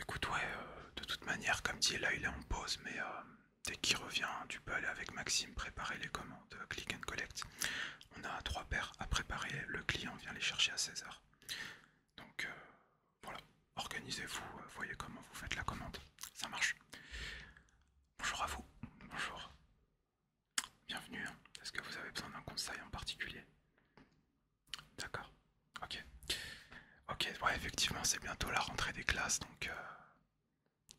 Écoute, ouais, euh, de toute manière, comme dit, là il est en pause, mais euh, dès qu'il revient, tu peux aller avec Maxime préparer les commandes euh, click and collect. On a trois paires à préparer, le client vient les chercher à 16h. Donc voilà, organisez-vous, voyez comment vous faites la commande, ça marche. Bonjour à vous, bonjour. Bienvenue, est-ce hein, que vous avez besoin d'un conseil en particulier D'accord. Ok. Ok, ouais, effectivement, c'est bientôt la rentrée des classes, donc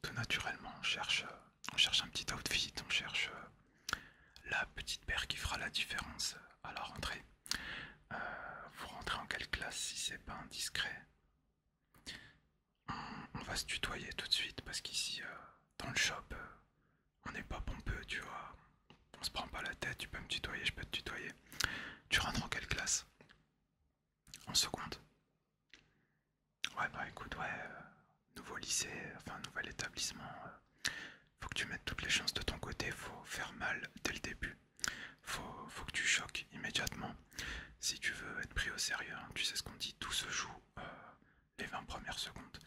tout euh, naturellement, on cherche, euh, on cherche un petit outfit, on cherche euh, la petite paire qui fera la différence à la rentrée. vous rentrez en quelle classe si c'est pas indiscret on, va se tutoyer tout de suite parce qu'ici, dans le shop, on n'est pas pompeux, tu vois. On se prend pas la tête, tu peux me tutoyer, je peux te tutoyer. Tu rentres en quelle classe En seconde Ouais, bah écoute, ouais, euh, nouveau lycée, enfin nouvel établissement. Euh. faut que tu mettes toutes les chances de ton côté, faut faire mal dès le début. Faut, faut que tu choques immédiatement. Si tu veux être pris au sérieux, hein, tu sais ce qu'on dit, tout se joue euh, les 20 premières secondes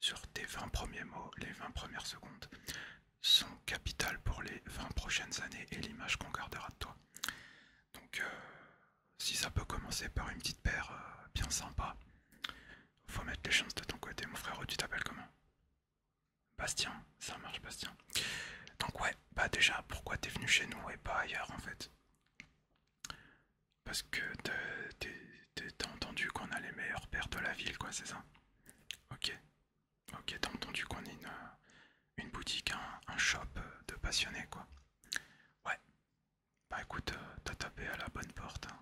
sur tes 20 premiers mots, les 20 premières secondes, sont capitales pour les 20 prochaines années et l'image qu'on gardera de toi. Donc, euh, si ça peut commencer par une petite paire euh, bien sympa, faut mettre les chances de ton côté, mon frère. Tu t'appelles comment Bastien, ça marche, Bastien. Donc, ouais, bah déjà, pourquoi t'es venu chez nous et pas ailleurs en fait Parce que t'as entendu qu'on a les meilleurs paires de la ville, quoi, c'est ça Ok. Ok, t'as entendu qu'on est une, euh, boutique, un, shop de passionnés quoi. Ouais. Bah écoute, euh, t'as tapé à la bonne porte. Hein.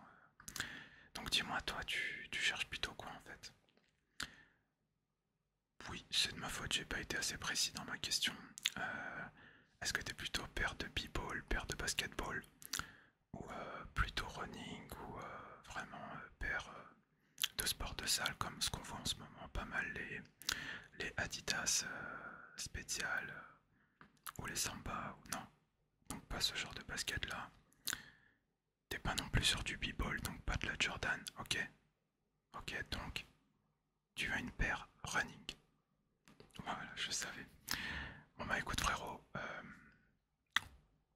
Donc dis-moi, toi, tu, cherches plutôt quoi en fait Oui, c'est de ma faute, j'ai pas été assez précis dans ma question. Euh, est-ce que t'es plutôt père de b-ball, père de basketball ou euh, plutôt running ou euh, vraiment euh, paire de sport de salle comme ce qu'on voit en ce moment pas mal les, les Adidas spéciales ou les Samba ou non donc pas ce genre de basket là t'es pas non plus sur du b-ball donc pas de la Jordan ok ok donc tu as une paire running voilà je savais bon bah écoute frérot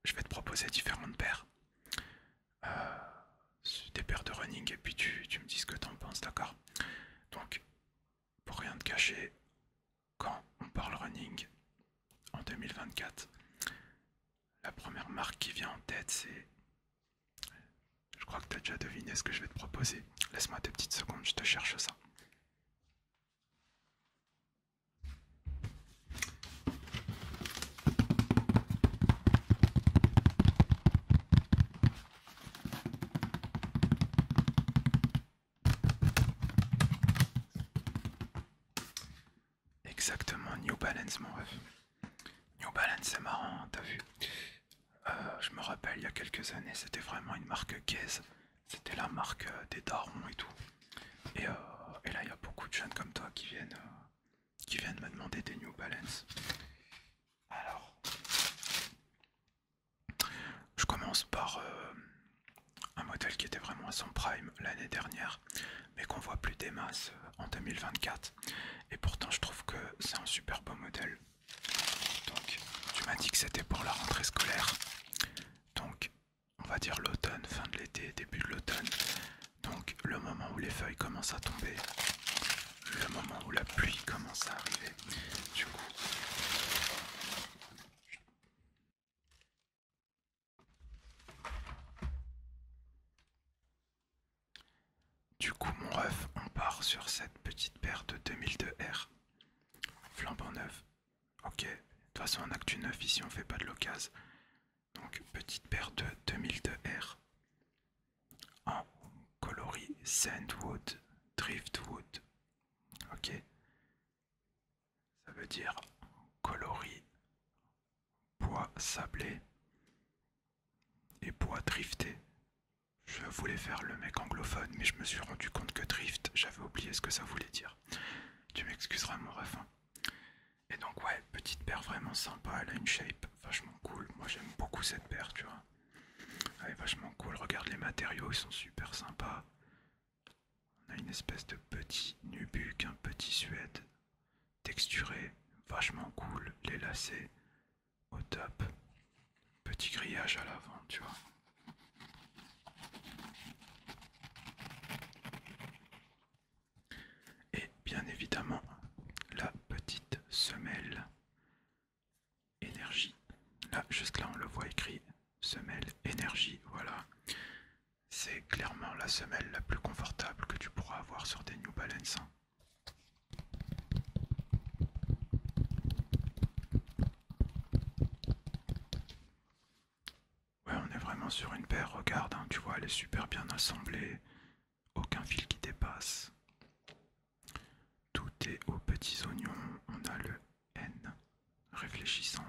je vais te proposer différentes paires. Euh, des paires de running et puis tu, me dis ce que tu en penses, d'accord Donc, pour rien te cacher, quand on parle running en 2024, la première marque qui vient en tête, c'est... Je crois que tu as déjà deviné ce que je vais te proposer. Laisse-moi deux petites secondes, je te cherche ça. Exactement, New Balance, mon ref. New Balance, c'est marrant, hein, t'as vu euh, Je me rappelle, il y a quelques années, c'était vraiment une marque gaze. C'était la marque euh, des darons et tout. Euh, et, là, il y a beaucoup de jeunes comme toi qui viennent, euh, qui viennent me demander des New Balance. Alors, je commence par euh, un modèle qui était vraiment à son prime l'année dernière, mais qu'on voit plus des masses en 2024. Et pourtant, je trouve que c'est un super beau modèle. Donc, tu m'as dit que c'était pour la rentrée scolaire. Donc, on va dire l'automne, fin de l'été, début de l'automne. Donc le moment où les feuilles commencent à tomber, le moment où la pluie commence à arriver. Du coup, du coup mon ref, on part sur cette petite paire de 2002R, flambant neuf. Ok, de toute façon que du neuf ici on fait pas de l'occasion. Donc petite paire de 2002R en coloris Sandwood, Driftwood. Ok. Ça veut dire coloris bois sablé et bois drifté. Je voulais faire le mec anglophone, mais je me suis rendu compte que drift, j'avais oublié ce que ça voulait dire. Tu m'excuseras mon ref. Et donc ouais, petite paire vraiment sympa, elle a une shape vachement cool. Moi j'aime beaucoup cette paire, tu vois. Elle est vachement cool, regarde les matériaux, ils sont super sympas. On a une espèce de petit nubuck, un petit suède texturé, vachement cool, les lacets au top. Petit grillage à l'avant, tu vois. Et bien évidemment, la petite semelle énergie. Là, juste là, on le voit écrit semelle énergie. Voilà. C'est clairement la semelle la plus confortable que tu pourras avoir sur des New Balance. Hein. Ouais, on est vraiment sur une paire, regarde, hein, tu vois, elle est super bien assemblée. Aucun fil qui dépasse. Tout est aux petits oignons. On a le N réfléchissant.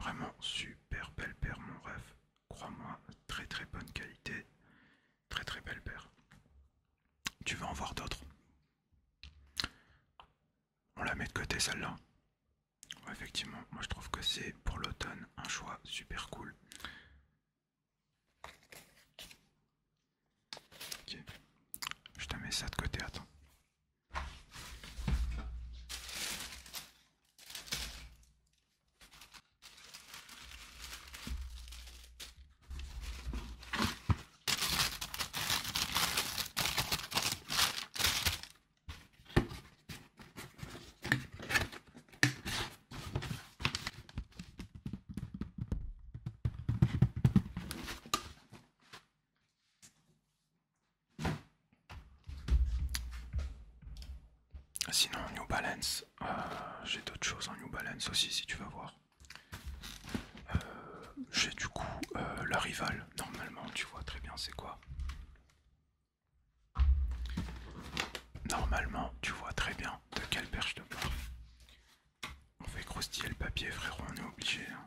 Vraiment super belle paire, mon rêve. Crois-moi, très très bonne qualité. Très très belle paire. Tu vas en voir d'autres On la met de côté celle-là effectivement, moi je trouve que c'est pour l'automne un choix super cool. je te mets ça de côté, attends. Sinon, New Balance, euh, j'ai d'autres choses en New Balance aussi, si tu veux voir. Euh, j'ai du coup euh, la rivale, normalement, tu vois très bien c'est quoi. Normalement, tu vois très bien de quelle perche te parle. On fait croustiller le papier, frérot, on est obligé. Hein.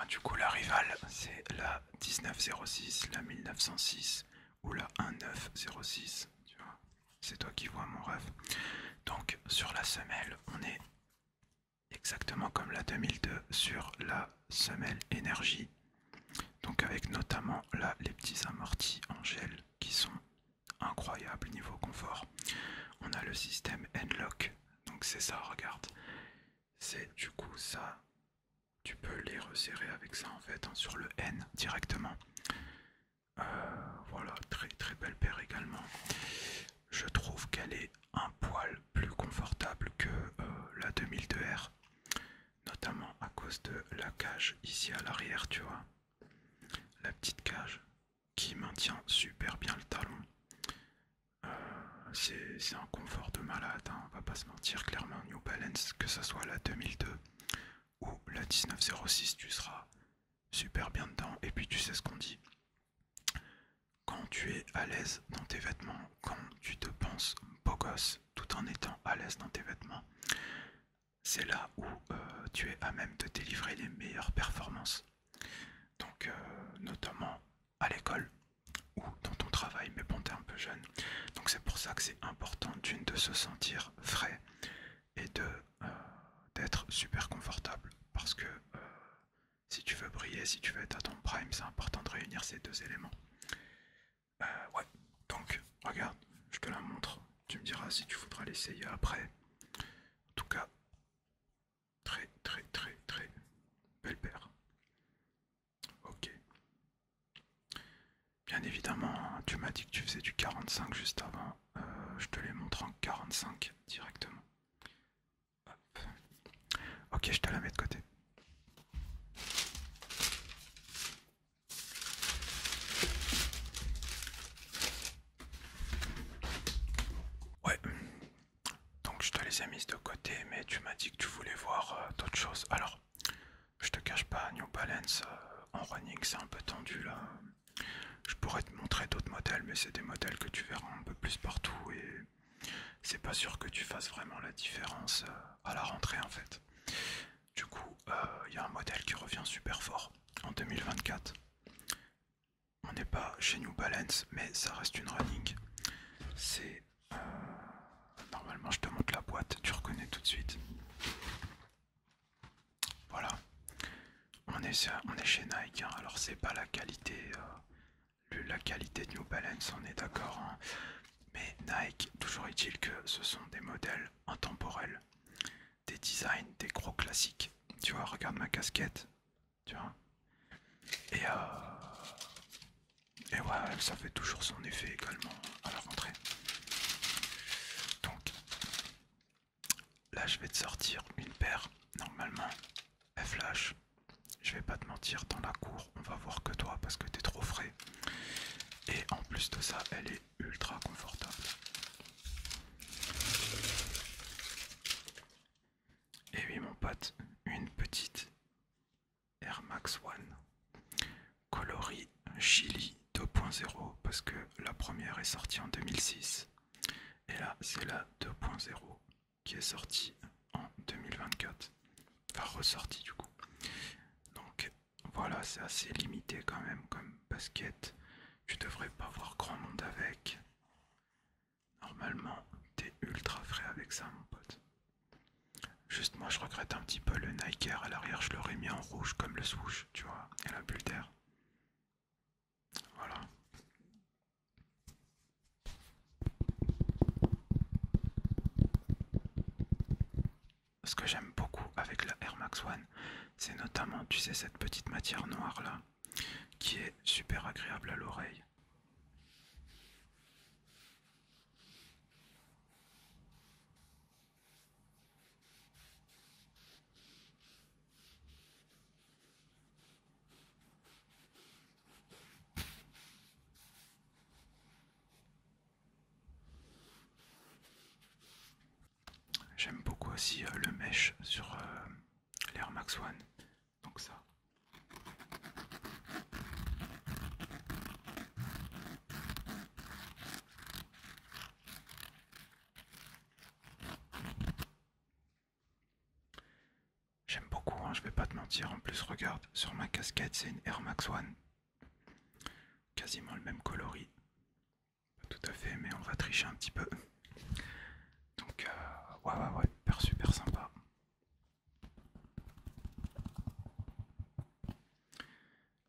Ah, du coup, la rivale, c'est la 1906, la 1906 ou la 1906. c'est toi qui vois mon rêve. Donc, sur la semelle, on est exactement comme la 2002 sur la semelle énergie. Donc avec notamment là les petits amortis en gel qui sont incroyables niveau confort. On a le système N-Lock, donc c'est ça, regarde. C'est du coup ça, tu peux les resserrer avec ça en fait hein, sur le N directement. Euh, voilà, très très belle paire également. Je trouve qu'elle est un poil plus confortable que euh, la 2002R notamment à cause de la cage ici à l'arrière, tu vois. La petite cage qui maintient super bien le talon. Euh, c'est un confort de malade, hein. on va pas se mentir, clairement New Balance, que ce soit la 2002 ou la 1906, tu seras super bien dedans. Et puis tu sais ce qu'on dit. Quand tu es à l'aise dans tes vêtements, quand tu te penses beau gosse, tout en étant à l'aise dans tes vêtements. C'est là où euh, tu es à même de délivrer les meilleures performances. Donc euh, notamment à l'école ou dans ton travail, mais bon t'es un peu jeune. Donc c'est pour ça que c'est important d'une de se sentir frais et de euh, d'être super confortable. Parce que si tu veux briller, si tu veux être à ton prime, c'est important de réunir ces deux éléments. Bah, ouais, donc, regarde, je te la montre. Tu me diras si tu voudras l'essayer après. En tout cas, très, très, très, très belle paire. Ok. Bien évidemment, tu m'as dit que tu faisais du 45 juste avant. Euh, je te les montre en 45 directement. Ok, je te la mets de côté. Ouais. Donc je te les ai mises de côté, mais tu m'as dit que tu voulais voir euh, d'autres choses. Alors, je te cache pas, New Balance euh, en running, c'est un peu tendu là. Je pourrais te montrer d'autres modèles, mais c'est des modèles que tu verras un peu plus partout et c'est pas sûr que tu fasses vraiment la différence euh, à la rentrée en fait. Du coup, il euh, y a un modèle qui revient super fort en 2024. On n'est pas chez New Balance, mais ça reste une running. C'est. Euh, normalement, je te montre la boîte, tu reconnais tout de suite. Voilà. On est, on est chez Nike, hein. alors c'est pas la qualité. Euh, la qualité de New Balance, on est d'accord, hein. Mais Nike, toujours est-il que ce sont des modèles intemporels, des designs, des gros classiques. Tu vois, regarde ma casquette, tu vois. Et, euh, et ouais, ça fait toujours son effet également à la rentrée. Donc, là je vais te sortir une paire, normalement, flash. Je vais pas te mentir, dans la cour, on va voir que toi parce que t'es trop frais et en plus de ça elle est ultra confortable et oui mon pote une petite Air Max One coloris Chili 2.0 parce que la première est sortie en 2006 et là c'est la 2.0 qui est sortie en 2024 enfin ressortie du coup donc voilà, c'est assez limité quand même comme basket. Tu devrais pas voir grand monde avec. Normalement, t'es ultra frais avec ça, mon pote. Juste, moi, je regrette un petit peu le Nike à l'arrière. Je l'aurais mis en rouge comme le swoosh, tu vois, et la bulle d'air. Voilà ce que j'aime beaucoup avec la Air Max One, c'est notamment, tu sais, cette petite matière noire là, qui est super agréable à l'oreille. J'aime beaucoup aussi euh, le mesh sur euh, l'Air Max One. Donc ça. J'aime beaucoup, hein, je vais pas te mentir. En plus, regarde, sur ma casquette, c'est une Air Max One. Quasiment le même coloris. Pas tout à fait, mais on va tricher un petit peu. Donc, euh, ouais, ouais, super, super sympa.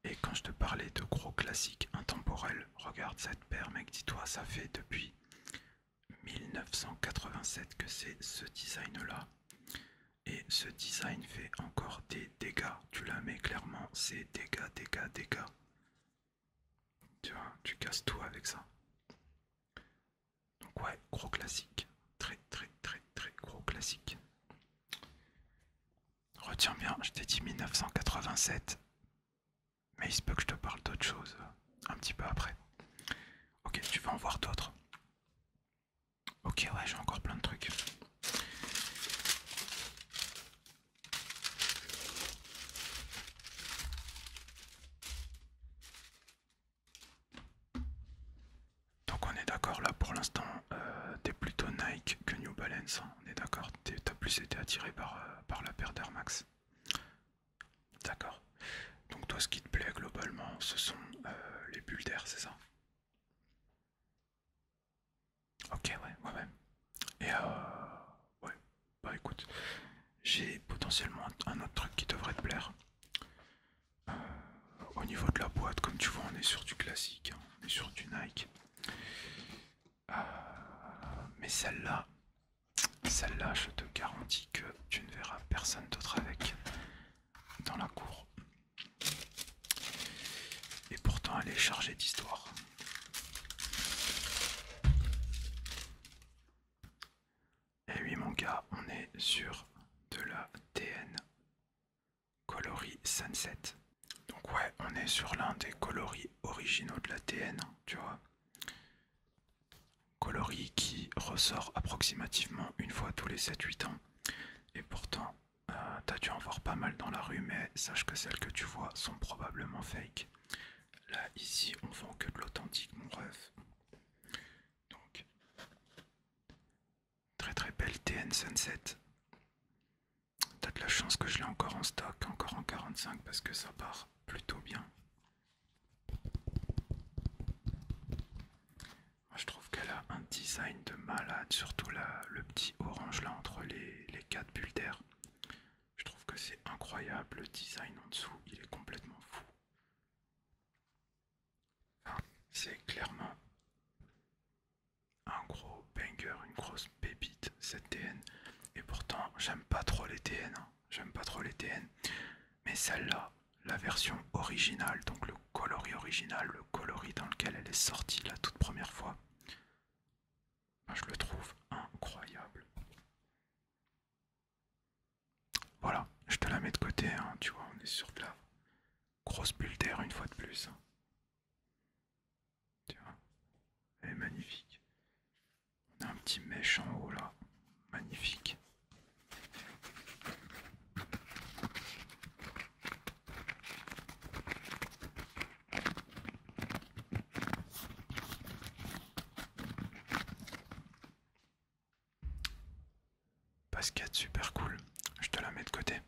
Et quand je te parlais de gros classiques intemporels, regarde cette paire, mec, dis-toi, ça fait depuis 1987 que c'est ce design-là. Et ce design fait encore des dégâts. Tu la mets clairement, c'est dégâts, dégâts, dégâts. Tu vois, tu casses tout avec ça. Donc ouais, gros classique. Très très très très gros classique. Retiens bien, je t'ai dit 1987. Mais il se peut que je te parle d'autre chose euh, un petit peu après. Ok, tu vas en voir d'autres. Ok, ouais, j'ai encore plein de trucs. Donc on est d'accord là pour l'instant, euh, t'es plutôt Nike que New Balance, hein. on est d'accord, t'as plus été attiré par, euh, par la paire d'Air Max. D'accord. Donc toi ce qui te plaît globalement ce sont euh, les bulles d'air, c'est ça Ok, ouais, ouais Et euh, ouais, bah écoute, j'ai potentiellement un autre truc qui devrait te plaire. Euh, au niveau de la boîte, comme tu vois, on est sur du classique, hein, on est sur du Nike. Euh, mais celle-là, celle-là, je te garantis que tu ne verras personne d'autre avec dans la cour. Et pourtant elle est chargée d'histoire. Et eh oui mon gars, on est sur de la TN Coloris Sunset. Donc ouais, on est sur l'un des coloris originaux de la TN, tu vois. Coloris qui ressort approximativement une fois tous les 7-8 ans. Et pourtant, euh, t'as dû en voir pas mal dans la rue, mais sache que celles que tu vois sont probablement fake. Là, ici, on vend que de l'authentique, mon ref. Donc, très très belle TN Sunset. T'as de la chance que je l'ai encore en stock, encore en 45, parce que ça part plutôt bien. Je trouve qu'elle a un design de malade, surtout là le petit orange là entre les, les quatre bulles d'air. Je trouve que c'est incroyable, le design en dessous, il est complètement fou. Ah, c'est clairement un gros banger, une grosse pépite cette TN. Et pourtant, j'aime pas trop les TN, hein. j'aime pas trop les TN. Mais celle-là, la version originale, donc le coloris original, le coloris dans lequel elle est sortie la toute première fois. je le trouve incroyable. Voilà, je te la mets de côté, hein, tu vois, on est sur de la grosse bulle une fois de plus. Hein. elle est magnifique. On a un petit mèche en haut là, magnifique. Basket super cool, je te la mets de côté.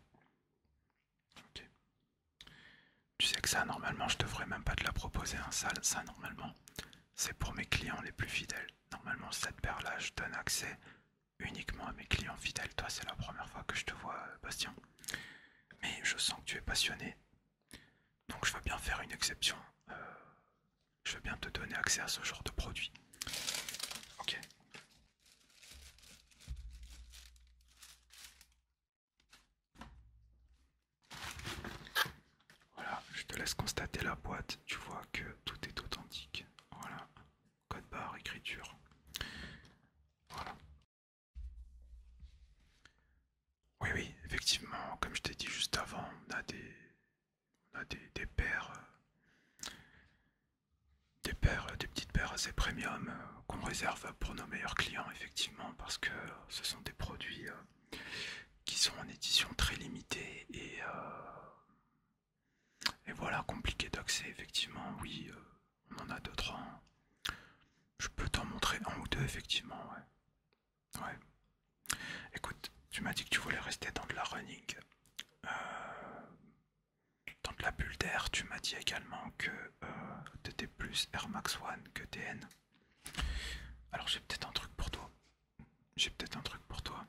Tu sais que ça normalement je devrais même pas te la proposer un hein. ça normalement c'est pour mes clients les plus fidèles. Normalement cette paire là donne accès uniquement à mes clients fidèles. Toi, c'est la première fois que je te vois, euh, Bastien. Mais je sens que tu es passionné. Donc je veux bien faire une exception. Euh, je veux bien te donner accès à ce genre de produit. Ok. Voilà, je te laisse constater la boîte. Tu vois que tout est authentique. Voilà code barre, écriture. Voilà. Oui, oui, effectivement, comme je t'ai dit juste avant, on a des, a des, des paires, euh, des pères, euh, des petites paires assez premium euh, qu'on réserve pour nos meilleurs clients, effectivement, parce que ce sont des produits qui sont en édition très limitée et et voilà, compliqué d'accès, effectivement, oui, euh, on en a d'autres, hein. Je peux t'en montrer un ou deux, effectivement, ouais. Ouais. Écoute, tu m'as dit que tu voulais rester dans de la running, euh, dans de la bulle d'air. Tu m'as dit également que euh, t'étais plus Rmax Max One que TN. Alors j'ai peut-être un truc pour toi. J'ai peut-être un truc pour toi.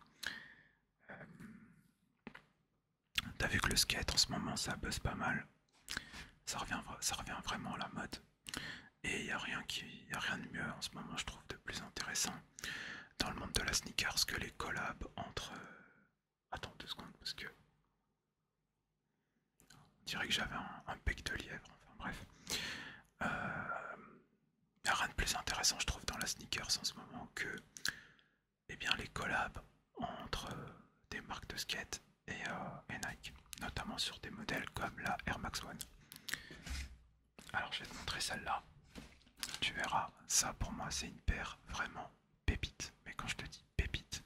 T'as vu que le skate en ce moment ça buzz pas mal. Ça revient, ça revient vraiment à la mode. Et il n'y a, a rien de mieux en ce moment, je trouve, de plus intéressant dans le monde de la sneakers que les collabs entre. Euh, attends deux secondes parce que. On dirait que j'avais un, bec de lièvre, enfin bref. Il euh, n'y a rien de plus intéressant, je trouve, dans la sneakers en ce moment que et eh bien, les collabs entre euh, des marques de skate euh, et, Nike, notamment sur des modèles comme la Air Max One. Alors, je vais te montrer celle-là. Tu verras, ça pour moi, c'est une paire vraiment pépite. Mais quand je te dis pépite,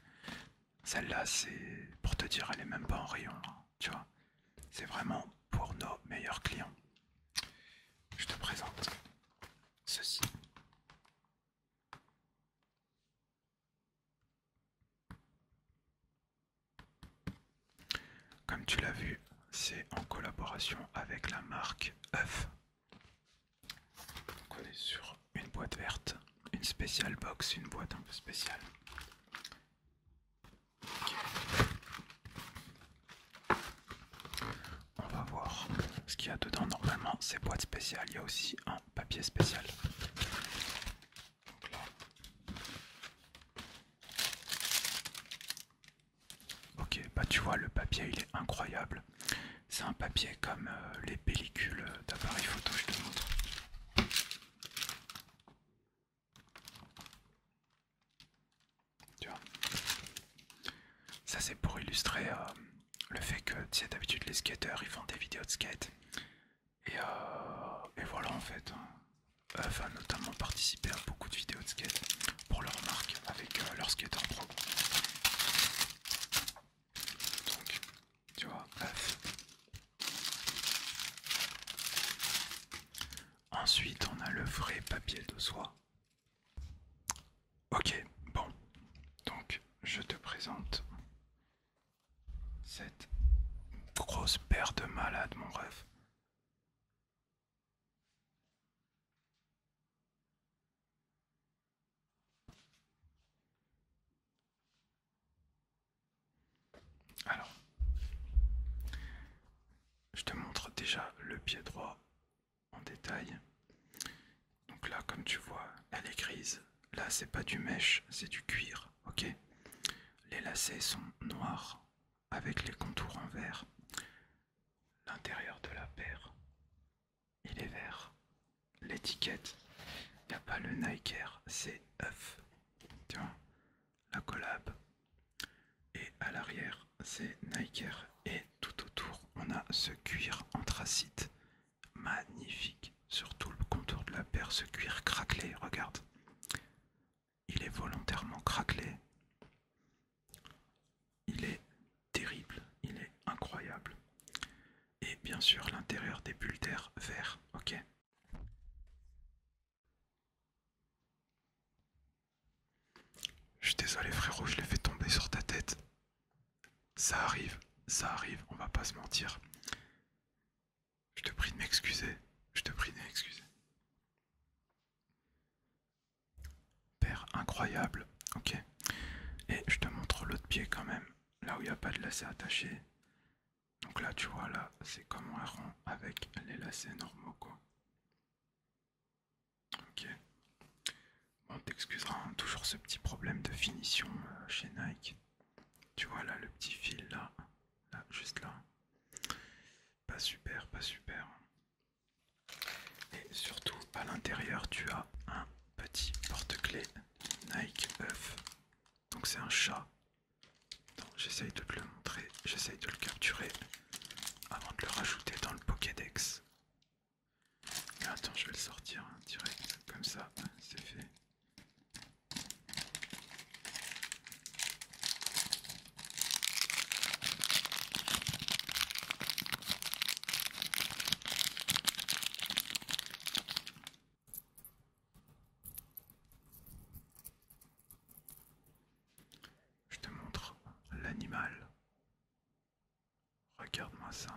celle-là, c'est pour te dire, elle est même pas en rayon, hein, tu vois. C'est vraiment pour nos meilleurs clients. Je te présente ceci. Comme tu l'as vu, c'est en collaboration avec la marque œuf. on est sur une boîte verte, une spéciale box, une boîte un peu spéciale on va voir ce qu'il y a dedans. Normalement, c'est boîte spéciale. Il y a aussi un papier spécial. Ok, bah tu vois, le papier il est incroyable. C'est un papier comme euh, les pellicules euh, d'appareil photo, je te montre. Tu ça c'est pour illustrer. Euh, le fait que, tu d'habitude les skateurs ils font des vidéos de skate. Et, euh, et voilà en fait. Hein. enfin a notamment participé à beaucoup de vidéos de skate pour leur marque avec euh, leur skater pro. Donc, tu vois, Ensuite, on a le vrai papier de soie Ok, bon. Donc, je te présente cette grosse paire de malades, mon rêve. Alors, je te montre déjà le pied droit en détail. Donc là, comme tu vois, elle est grise. Là, c'est pas du mèche, c'est du cuir, ok Les lacets sont noirs avec les contours en vert. L'intérieur de la paire, il est vert. L'étiquette, il n'y a pas le Nike Air, c'est oeuf, Tiens, La collab. Et à l'arrière, c'est Nike et tout autour, on a ce cuir anthracite magnifique sur tout le contour de la paire, ce cuir craquelé, regarde. Il est volontairement craquelé. Il est terrible, il est incroyable. Et bien sûr l'intérieur des bulles d'air vert, ok Je suis désolé frérot, je l'ai fait tomber sur ta tête. Ça arrive, ça arrive, on va pas se mentir. Je te prie de m'excuser, je te prie de m'excuser. Père incroyable, ok. Et je te montre l'autre pied quand même, là où il n'y a pas de lacet attaché. Donc là, tu vois, là, c'est comme un rond avec les lacets normaux, quoi. Ok. Bon, t'excusera, hein, toujours ce petit problème de finition euh, chez Nike. Tu vois là, le petit fil là, là, juste là. Pas super, pas super. Et surtout, à l'intérieur, tu as un petit porte-clés Nike Oeuf, Donc c'est un chat. J'essaye de te le montrer, j'essaye de le capturer avant de le rajouter dans le Pokédex. Attends, je vais le sortir hein, direct, comme ça, c'est fait. Je te montre l'animal. Regarde-moi ça.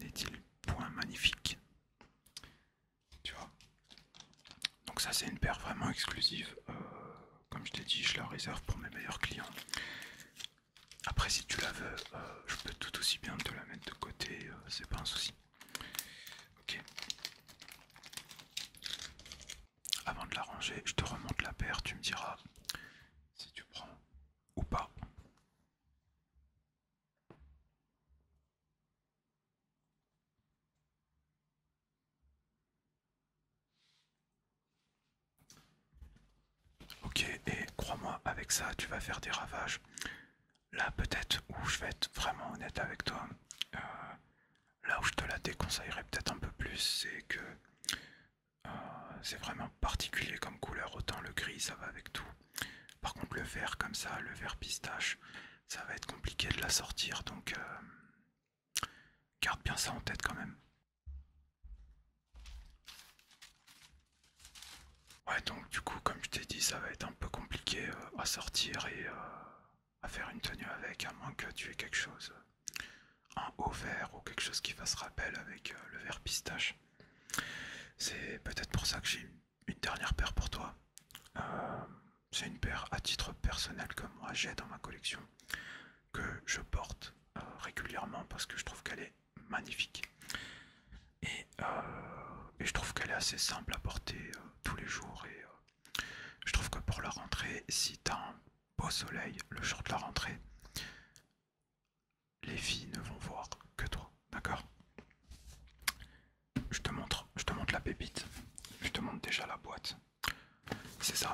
N'est-il point magnifique Tu vois Donc ça c'est une paire vraiment exclusive. Euh, comme je t'ai dit, je la réserve pour mes meilleurs clients. Après si tu la veux, euh, je peux tout aussi bien te la mettre de côté, euh, c'est pas un souci. Ok. Avant de la ranger, je te remonte la paire, tu me diras si tu prends ou pas. Ok, et crois-moi, avec ça, tu vas faire des ravages. Là, peut-être où je vais être vraiment honnête avec toi, euh, là où je te la déconseillerais peut-être un peu plus, c'est que euh, c'est vraiment particulier comme couleur, autant le gris ça va avec tout. Par contre le vert comme ça, le vert pistache, ça va être compliqué de la sortir, donc euh, garde bien ça en tête quand même. Ouais donc du coup comme je t'ai dit ça va être un peu compliqué euh, à sortir et à faire une tenue avec, à moins que tu aies quelque chose un haut vert ou quelque chose qui fasse rappel avec euh, le vert pistache. C'est peut-être pour ça que j'ai une dernière paire pour toi. Euh, c'est une paire à titre personnel que moi j'ai dans ma collection, que je porte euh, régulièrement parce que je trouve qu'elle est magnifique. Et, je trouve qu'elle est assez simple à porter tous les jours. Et je trouve que pour la rentrée, si tu beau soleil, le jour de la rentrée, les filles ne vont voir que toi, d'accord Je te montre, je te montre la pépite, je te montre déjà la boîte. C'est ça.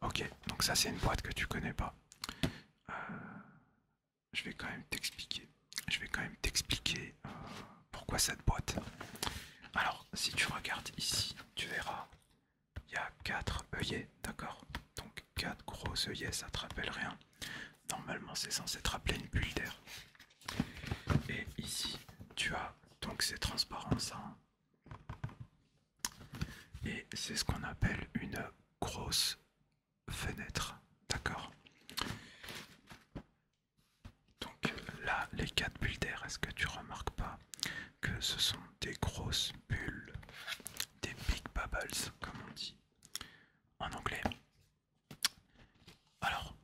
Ok, donc ça c'est une boîte que tu connais pas. Euh, je vais quand même t'expliquer. Je vais quand même t'expliquer euh, pourquoi cette boîte. Alors, si tu regardes ici, tu verras, il y a 4 œillets, d'accord Donc 4 gros œillets, ça te rappelle rien. Normalement, c'est censé te rappeler une bulle d'air. Et ici, tu as, donc ces transparent hein. et c'est ce qu'on appelle une grosse fenêtre. D'accord. Donc là, les quatre bulles d'air, est-ce que tu remarques pas que ce sont des grosses bulles, des big bubbles, comme on dit en anglais. Alors,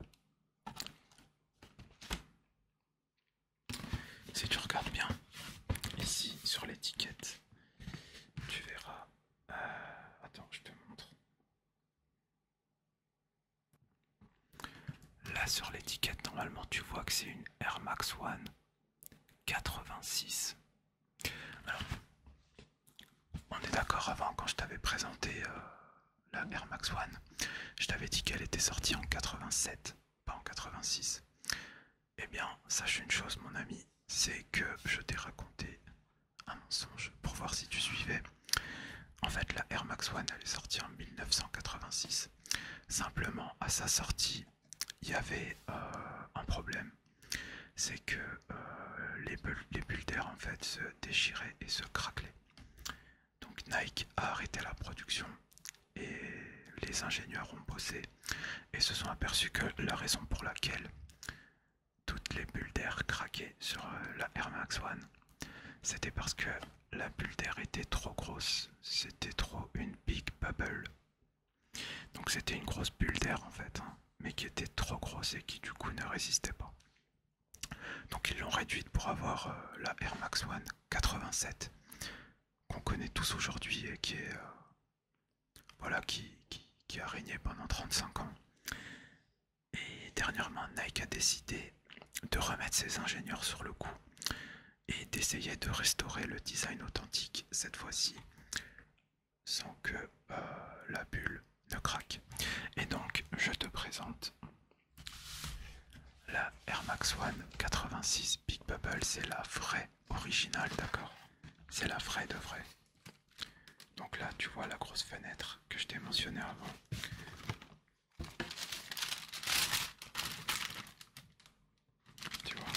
si tu regardes bien ici sur l'étiquette, tu verras euh, attends, je te montre. Là sur l'étiquette, normalement tu vois que c'est une Air Max One 86. Alors, on est d'accord avant quand je t'avais présenté euh, la Air Max One, je t'avais dit qu'elle était sortie en 87, pas en 86. Eh bien, sache une chose mon ami, c'est que je t'ai raconté un mensonge pour voir si tu suivais. En fait, la Air Max One, est sortie en 1986. Simplement, à sa sortie, il y avait euh, un problème. C'est que euh, les, bulles, d'air, en fait, se déchiraient et se craquaient. Donc Nike a arrêté la production et les ingénieurs ont bossé et se sont aperçus que la raison pour laquelle toutes les bulles d'air craquaient sur euh, la Air Max One, c'était parce que la bulle d'air était trop grosse, c'était trop une big bubble. Donc c'était une grosse bulle d'air en fait, hein, mais qui était trop grosse et qui du coup ne résistait pas. Donc ils l'ont réduite pour avoir euh, la Air Max One 87 qu'on connaît tous aujourd'hui et qui est euh, voilà, qui, a régné pendant 35 ans. Et dernièrement, Nike a décidé de remettre ses ingénieurs sur le coup et d'essayer de restaurer le design authentique cette fois-ci sans que euh, la bulle ne craque. Et donc, je te présente la Air Max One 86 Big Bubble, c'est la vraie originale, d'accord C'est la vraie de vraie. Donc là, tu vois la grosse fenêtre que je t'ai mentionnée avant. Tu vois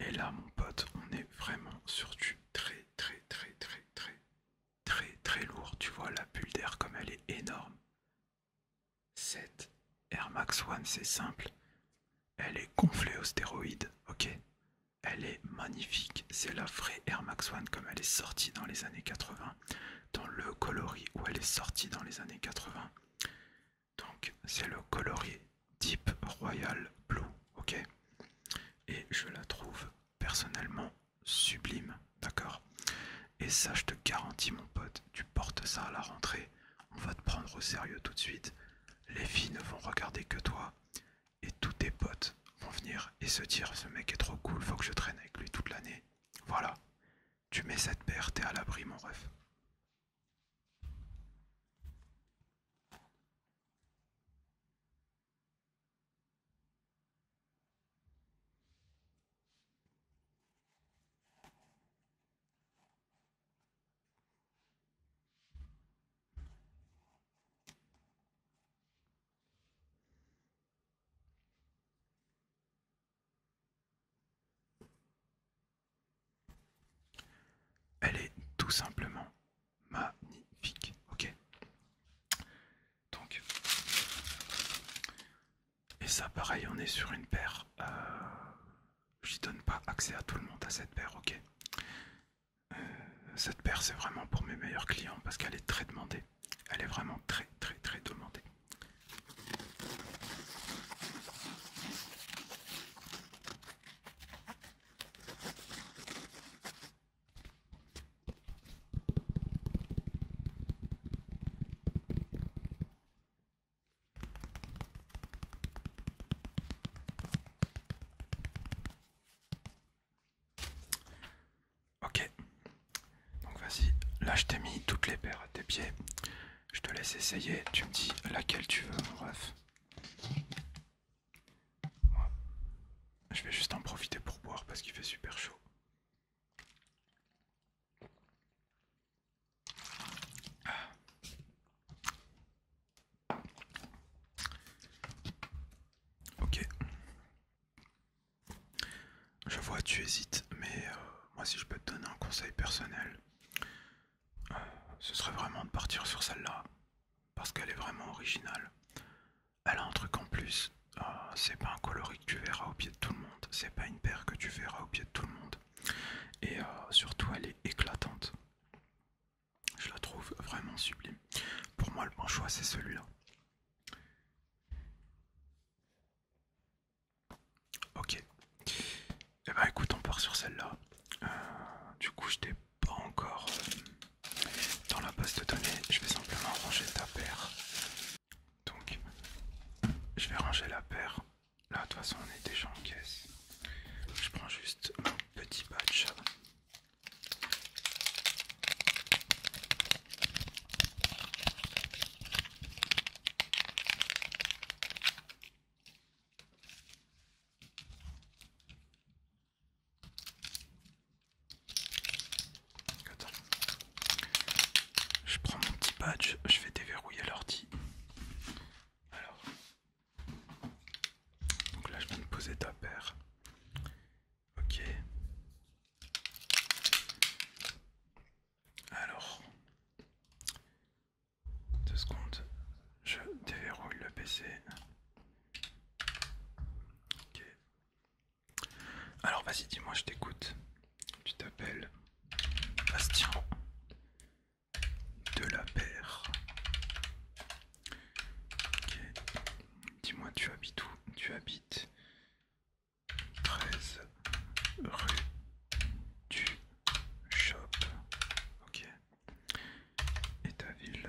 Et là, mon pote, on est vraiment sur du très, très, très, très, très, très très lourd. Tu vois la bulle d'air comme elle est énorme. Cette Air Max One, c'est simple. Elle est gonflée aux stéroïdes, ok Elle est magnifique. C'est la vraie Air Max One comme elle est sortie dans les années 80, dans le coloris où elle est sortie dans les années 80. Donc c'est le coloris Deep Royal Blue, ok Et je la trouve personnellement sublime, d'accord Et ça, je te garantis, mon pote, tu portes ça à la rentrée, on va te prendre au sérieux tout de suite. Les filles ne vont regarder que toi, et tous tes potes vont venir et se dire ce mec est trop cool, faut que je traîne avec lui toute l'année. Voilà, tu mets cette paire, t'es à l'abri, mon ref. Elle est tout simplement magnifique, ok donc, et ça, pareil, on est sur une paire. je euh, J'y donne pas accès à tout le monde à cette paire, ok. Euh, cette paire, c'est vraiment pour mes meilleurs clients parce qu'elle est très demandée. Elle est vraiment très, très, très demandée. Ok, donc vas-y, là je t'ai mis toutes les paires à tes pieds. Je te laisse essayer, tu me dis laquelle tu veux, bref. je vais juste en profiter pour boire parce qu'il fait super chaud. Ah. Ok. Je vois, tu hésites, mais euh, moi, si je peux te donner un conseil personnel, euh, ce serait vraiment de partir sur celle-là, parce qu'elle est vraiment originale. Elle a un truc en plus. Euh, c'est pas un coloris que tu verras au pied de tout le monde. C'est pas une paire que tu verras au pied de tout le monde. Et euh, surtout, elle est éclatante. Je la trouve vraiment sublime. Pour moi, le bon choix, c'est celui-là. Ok. Et eh bah ben, écoute, on part sur celle-là. Euh, du coup, je t'ai pas encore dans la base de données. Je vais simplement ranger ta paire. Donc, je vais ranger la paire. Là, de toute façon, on est déjà en caisse. Je prends juste un petit badge. Je prends mon petit badge, je vais déverrouiller l'ordi. Alors. Donc là je viens de poser ta paire. Ok. Alors. Deux secondes. Je déverrouille le PC. Ok. Alors vas-y, dis-moi, je t'écoute. Tu t'appelles Bastien de la Paire. Dis-moi, tu habites où Tu habites 13 rue du Shop. Ok. Et ta ville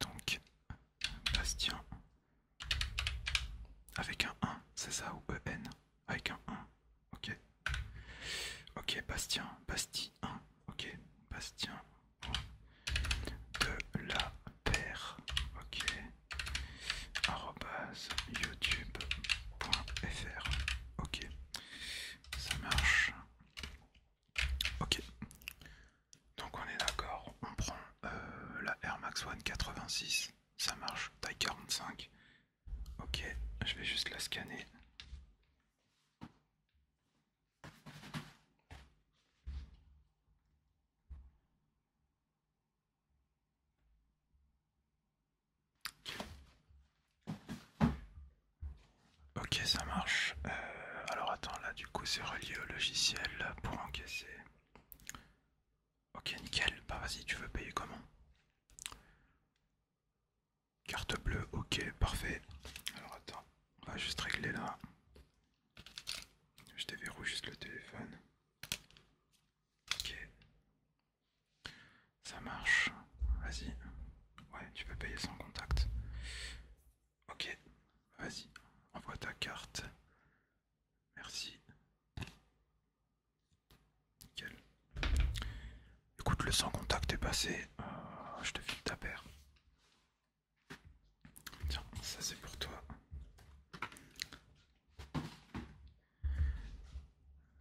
Donc, Bastien. Avec un 1, c'est ça ou EN Avec un 1, ok. Ok, Bastien, Bastien, 1, ok, Bastien. De la paire, ok. arrobas, youtube.fr, ok. Ça marche. Ok. Donc on est d'accord, on prend euh, la Air Max One 86, ça marche, taille 45. Ok, je vais juste la scanner. Ok, ça marche. Euh, euh, alors attends, là du coup c'est relié au logiciel pour encaisser. Ok, nickel. Bah vas-y, tu veux payer comment Carte bleue, ok, parfait. Alors attends, on va juste régler là. Je déverrouille juste le téléphone. Ok. Ça marche. Vas-y. Ouais, tu peux payer sans contact. Ok, vas-y, envoie ta carte. Merci. Nickel. Écoute, le sans contact est passé. Euh, je te file ta paire. Tiens, ça c'est pour toi.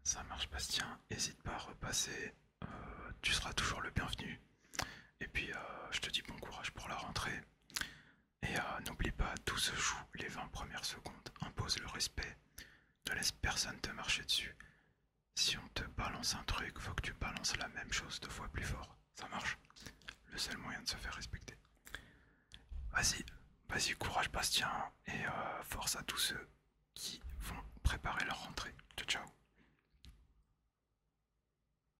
Ça marche, Bastien. Hésite pas à repasser. Euh, tu seras toujours le bienvenu. Et puis, euh, je te dis bon courage pour la rentrée. Et euh, n'oublie pas, tout se joue les 20 premières secondes. Impose le respect. Ne laisse personne te marcher dessus. Si on te balance un truc, faut que tu balances la même chose deux fois plus fort. Ça marche. Le seul moyen de se faire respecter. Vas-y, vas-y, courage Bastien. Et euh, force à tous ceux qui vont préparer leur rentrée. Ciao, ciao.